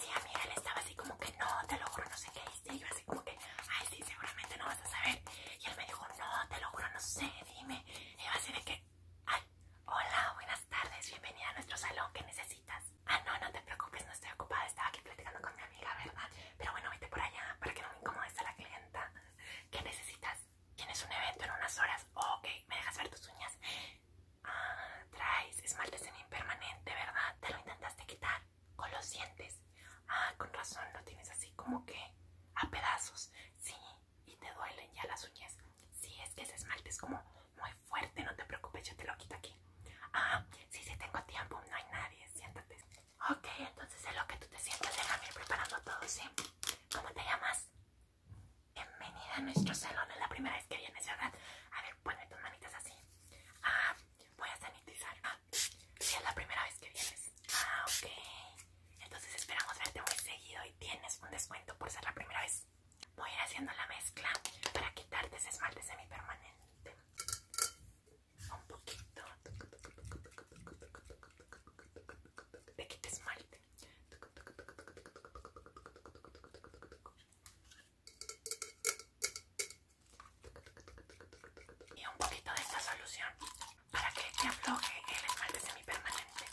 Sí, amiga, él estaba así como que no, te lo juro, no sé qué hice. Yo así como que, ay, sí, seguramente no vas a saber. Y él me dijo, no, te lo juro, no sé, dime. Y va así de que, ay, hola, buenas tardes, bienvenida a nuestro salón, ¿qué necesitas? Ah, no, no te preocupes, no estoy ocupada, estaba aquí platicando con mi amiga, ¿verdad? Pero bueno, vete por allá para que no me incomodes a la clienta. ¿Qué necesitas? Tienes un evento en unas horas. ok, ¿me dejas ver tus uñas? Ah, traes esmalte en impermanente ¿verdad? Te lo intentaste quitar con los dientes. Ah, con razón, lo tienes así como que a pedazos. Sí, y te duelen ya las uñas. Sí, es que ese esmalte es como muy fuerte, no te preocupes, yo te lo quito aquí. Ah, sí, sí, tengo tiempo, no hay nadie, siéntate. Ok, entonces es lo que tú te sientas, déjame ir preparando todo, ¿sí? ¿Cómo te llamas? Bienvenida a nuestro salón, es la primera vez que vienes, ¿verdad? A ver, ponme tus manitas así. Ah, voy a sanitizar. Ah, sí, es la primera vez que vienes. Ah, ok. Entonces esperamos verte muy seguido y tienes un descuento por ser la primera vez. Voy a ir haciendo la mezcla para quitarte ese esmalte semipermanente. Un poquito. Te esmalte y un poquito de esta solución para que te afloje el esmalte semipermanente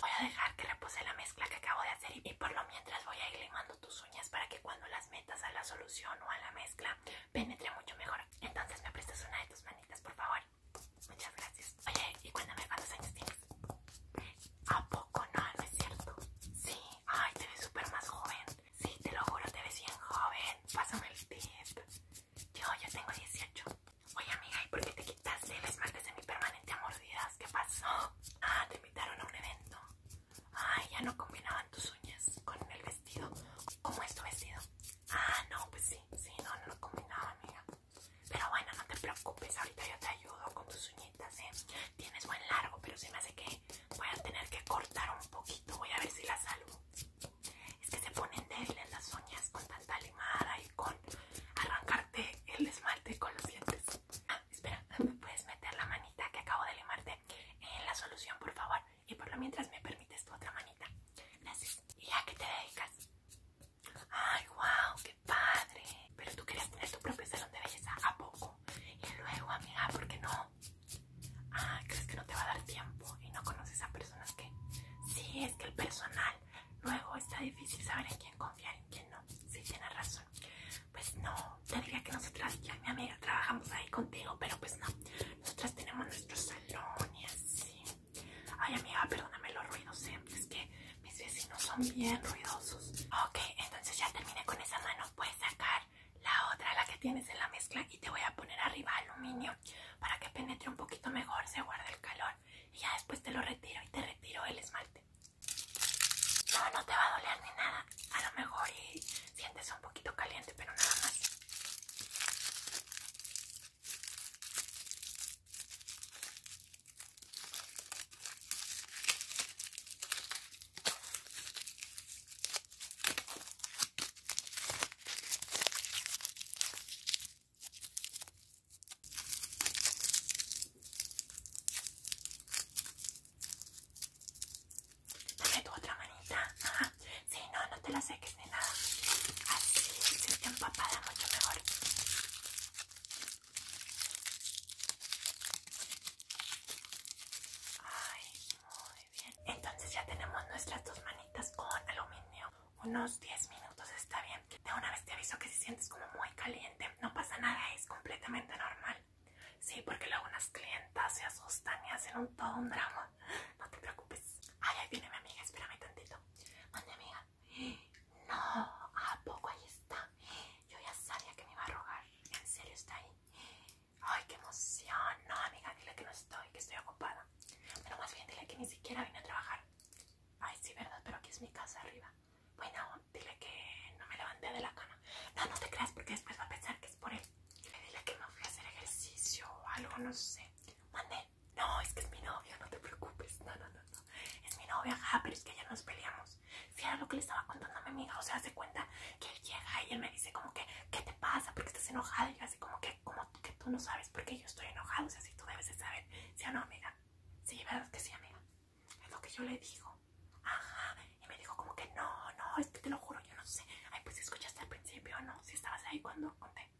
voy a dejar que repose la mezcla que acabo de hacer y por lo mientras voy a ir limando tus uñas para que cuando las metas a la solución o a la mezcla penetre mucho mejor entonces me prestas una de tus manitas por favor muchas gracias oye y cuéntame cuántos años tienes ¿A poco no? ¿No es cierto? Sí, ay, te ves súper más joven. Sí, te lo juro, te ves bien joven. Pásame el tip. Yo, ya tengo 18. Oye, amiga, ¿y por qué te quitaste el esmalte mi permanente mordidas? ¿Qué pasó? Ah, te invitaron a un evento. Ay, ya no combinaban tus uñas con el vestido. ¿Cómo es tu vestido? Ah, no, pues sí, sí, no, no lo combinaba, amiga. Pero bueno, no te preocupes, ahorita yo te ayudo con tus uñitas, ¿eh? Tienes buen largo, pero se me hace que voy a tener que cortar un poquito. Voy a ver si la salvo. Es que se ponen débiles las uñas con tanta limada y con arrancarte el esmalte con los dientes. Ah, espera, ¿me puedes meter la manita que acabo de limarte en la solución, por favor? Y por lo mientras me permites tu otra manita. Gracias. ¿Y a qué te dedicas? Ay, wow, qué padre. Pero tú querías tener tu propio salón de belleza a poco. Y luego, amiga, ¿por qué no? Ah, crees que no te va a dar tiempo y no conoces a personas que... Sí, es que el personal. Luego está difícil saber en quién confiar y en quién no. Sí, tienes razón. Pues no, te diría que nosotras, ya mi amiga, trabajamos ahí contigo, pero pues no. Nosotras tenemos nuestro salón y así. Ay, amiga, perdóname los ruidos, siempre ¿eh? es que mis vecinos son bien ruidosos. Ok, entonces ya terminé con esa mano. Puedes sacar la otra, la que tienes en la mezcla, y te voy a poner arriba aluminio para que penetre un poquito mejor, se guarde el calor. Y ya después te lo retiro y te retiro el esmalte. No, no te va a doler ni nada. A lo mejor sientes un poquito caliente, pero nada más. Dame tu otra manita. Ajá. Sí, no, no te la seques. Así, empapada, mucho mejor. Ay, muy bien. Entonces ya tenemos nuestras dos manitas con aluminio. Unos 10 minutos está bien. De una vez te aviso que si sientes como muy caliente, no pasa nada, es completamente normal. Sí, porque luego unas clientas se asustan y hacen un, todo un drama. No te preocupes. Ay, ahí viene mi amiga, espérame tantito. Anda, amiga. No, ¿a poco ahí está? Yo ya sabía que me iba a rogar. ¿En serio está ahí? Ay, qué emoción. No, amiga, dile que no estoy, que estoy ocupada. Pero más bien dile que ni siquiera vine a trabajar. Ay, sí, verdad, pero aquí es mi casa arriba. Bueno, dile que no me levanté de la cama. No, no te creas porque después va a pensar que es por él. Dile que me fui a hacer ejercicio o algo, no sé. Mandé no, es que es mi novio, no te preocupes, no, no, no, no. es mi novio, ajá, pero es que ya nos peleamos. Si era lo que le estaba contando a mi amiga, o sea, hace cuenta que él llega y él me dice como que, ¿qué te pasa? Porque estás enojada y así como que, como que tú no sabes por qué yo estoy enojado, o sea, si tú debes de saber, ¿sí o no, amiga? Sí, verdad que sí, amiga, es lo que yo le digo, ajá, y me dijo como que no, no, es que te lo juro, yo no sé, ay, pues escuchaste al principio, O ¿no? Si estabas ahí cuando conté.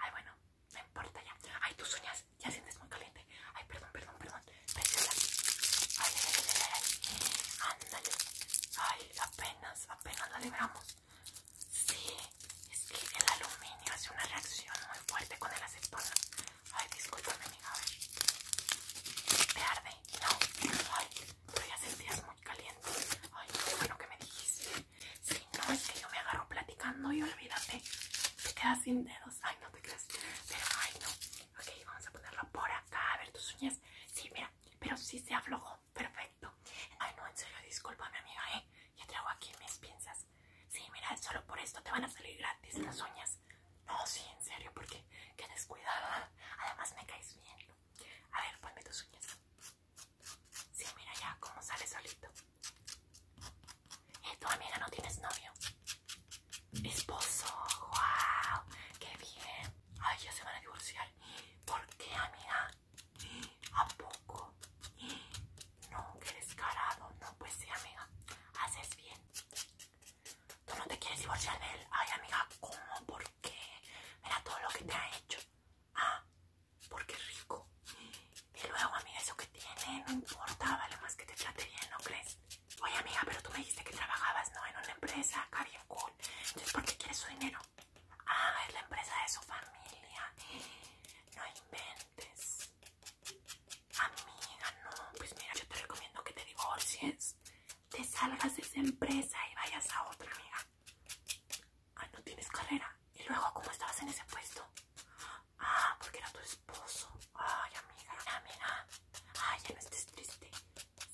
Ay, bueno, no importa ya. Ay, tus uñas, ya sientes muy caliente. Ay, perdón, perdón, perdón. Andale Ay, apenas, apenas la libramos. Sí, es que el aluminio hace una reacción muy fuerte con el acetona. Ay, discúlpame, amiga, a ¿Te arde? No. Ay, pero ya sentías muy caliente. Ay, qué bueno que me dijiste. Sí, no, es que yo me agarro platicando y olvídate. Te quedas sin dedos. Ay, no te creas. Pero, ay, no. Ok, vamos a ponerlo por acá. A ver tus uñas. Sí, mira. Pero sí se aflojó. Perfecto. Ay, no, en serio, mi amiga, ¿eh? Ya traigo aquí mis pinzas. Sí, mira, solo por esto te van a salir gratis las uñas. No, sí, en serio, porque qué descuidada. Además, me caes bien. A ver, ponme tus uñas. Sí, mira ya cómo sale solito. Eh, tu amiga no tienes novio. Esposo, wow, qué bien. Ay, yo se van a divorciar. ¿Por qué, amiga? ¿A poco? No, qué descarado. No, pues sí, amiga. Haces bien. Tú no te quieres divorciar de él. Ay, amiga, ¿cómo? ¿Por qué? Mira todo lo que te ha hecho. Ah, porque rico. Y luego, amiga, eso que tiene, no importa, vale más que te trate bien, ¿no crees? Oye, amiga, pero tú me dijiste que trabajabas, ¿no? En una empresa acá bien cool. Entonces, ¿por qué quieres su dinero? Ah, es la empresa de su familia. No inventes. Amiga, no. Pues mira, yo te recomiendo que te divorcies. Te salgas de esa empresa y vayas a otra, amiga. Ah, no tienes carrera. ¿Y luego cómo estabas en ese puesto? Ah, porque era tu esposo. Ay, amiga, amiga. Ay, ya no estés triste.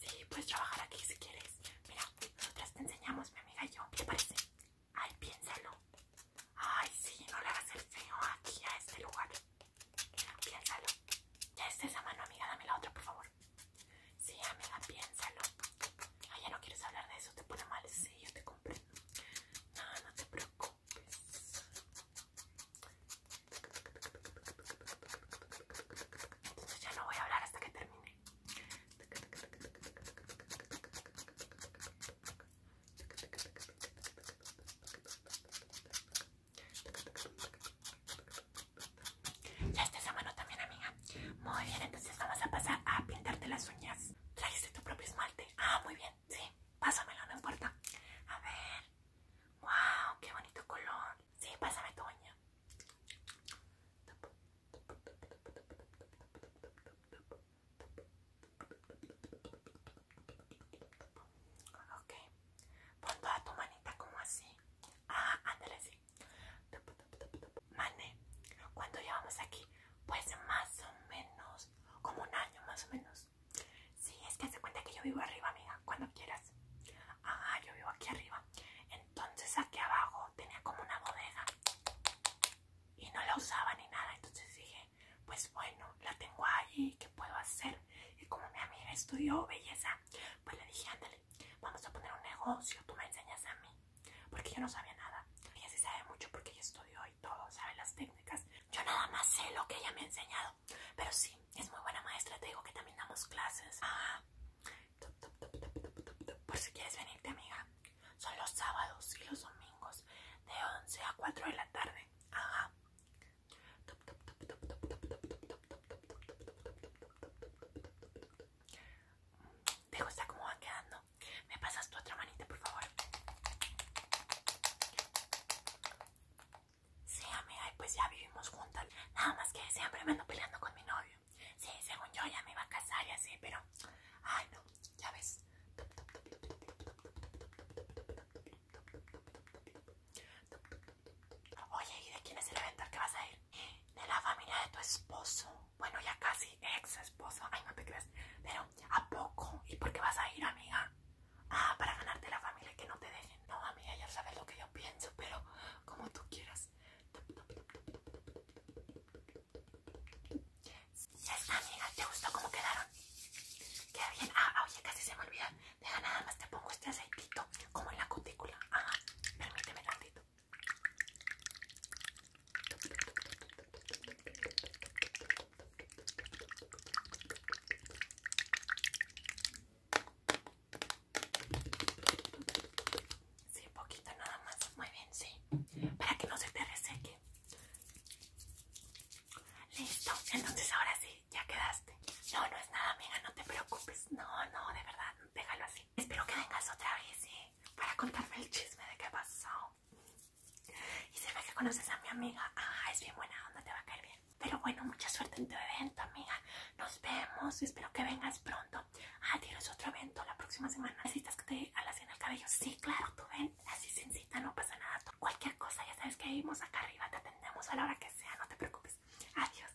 Sí, puedes trabajar aquí si quieres. Mira, nosotras te enseñamos, mi amiga y yo. ¿Qué te parece? Ay, piénsalo. Ay, sí, no le hagas el feo aquí a este lugar. Piénsalo. Ya está esa mano, amiga. Dame la otra, por favor. Sí, amiga, piénsalo. Ay, ah, ya no quieres hablar de eso, te pone mal. Sí, yo te comprendo. No, no te preocupes. Entonces ya no voy a hablar hasta que termine. Ya está esa mano también, amiga. Muy bien, entonces vamos a pasar a pintarte las uñas. ¿Trajiste tu propio esmalte? Ah, muy bien, sí. Pásamelo, no importa. A ver. ¡Wow! ¡Qué bonito color! Sí, pásame tu uña. Ok. Pon toda tu manita como así. Ah, ándale así. Mane, ¿cuánto llevamos aquí? Pues más o menos, como un año más o menos. Sí, es que hace cuenta que yo vivo arriba, amiga, cuando quieras. Ah, yo vivo aquí arriba. Entonces aquí abajo tenía como una bodega y no la usaba ni nada. Entonces dije, pues bueno, la tengo ahí, ¿qué puedo hacer? Y como mi amiga estudió belleza, pues le dije, ándale, vamos a poner un negocio, tú me enseñas a mí porque yo no sabía nada. Ella sí sabe mucho porque ella estudió y todo, sabe las técnicas. Yo nada más sé lo que ella me ha enseñado, pero sí, es muy buena maestra, te digo que también damos clases. Ah, por si quieres venirte, amiga, son los sábados y los domingos de 11 a 4 de la tarde. Ajá. ¿Te está como va quedando? ¿Me pasas tu otra manita, por favor? Sí, amiga, pues ya vivimos juntas. Nada más que siempre me ando peleando con mi novio. Sí, según yo ya me iba a casar y así, pero... Ay, no, ya ves. Oye, ¿y de quién es el evento que vas a ir? de la familia de tu esposo. Bueno, ya casi ex esposo. Ay, no te creas. Pero, ¿a poco? ¿Y por qué vas a ir, amiga? Ah, para ganarte la familia que no te dejen. No, amiga, ya sabes lo que yo pienso, pero como tú quieras. Ya amiga. ¿Te gustó cómo quedaron? Queda bien. Ah, oye, casi se me olvida. Deja nada más, te pongo este aceitito como en la cutícula. Ajá, permíteme ratito. Sí, poquito nada más, muy bien, sí, para que no se te reseque. Listo, entonces ahora sí, ya quedaste. No, no es nada, amiga, no te preocupes. No, no, de verdad, déjalo así. Espero que vengas otra vez, ¿eh? Para contarme el chisme de qué pasó. Y se que conoces a mi amiga. Ah, es bien buena onda, te va a caer bien. Pero bueno, mucha suerte en tu evento, amiga. Nos vemos. Espero que vengas pronto. Ah, tienes otro evento la próxima semana. ¿Necesitas que te hagas en el cabello? Sí, claro, tú ven. Así sin cita, no pasa nada. Cualquier cosa, ya sabes que vivimos acá arriba. Te atendemos a la hora que sea, no te preocupes. Adiós.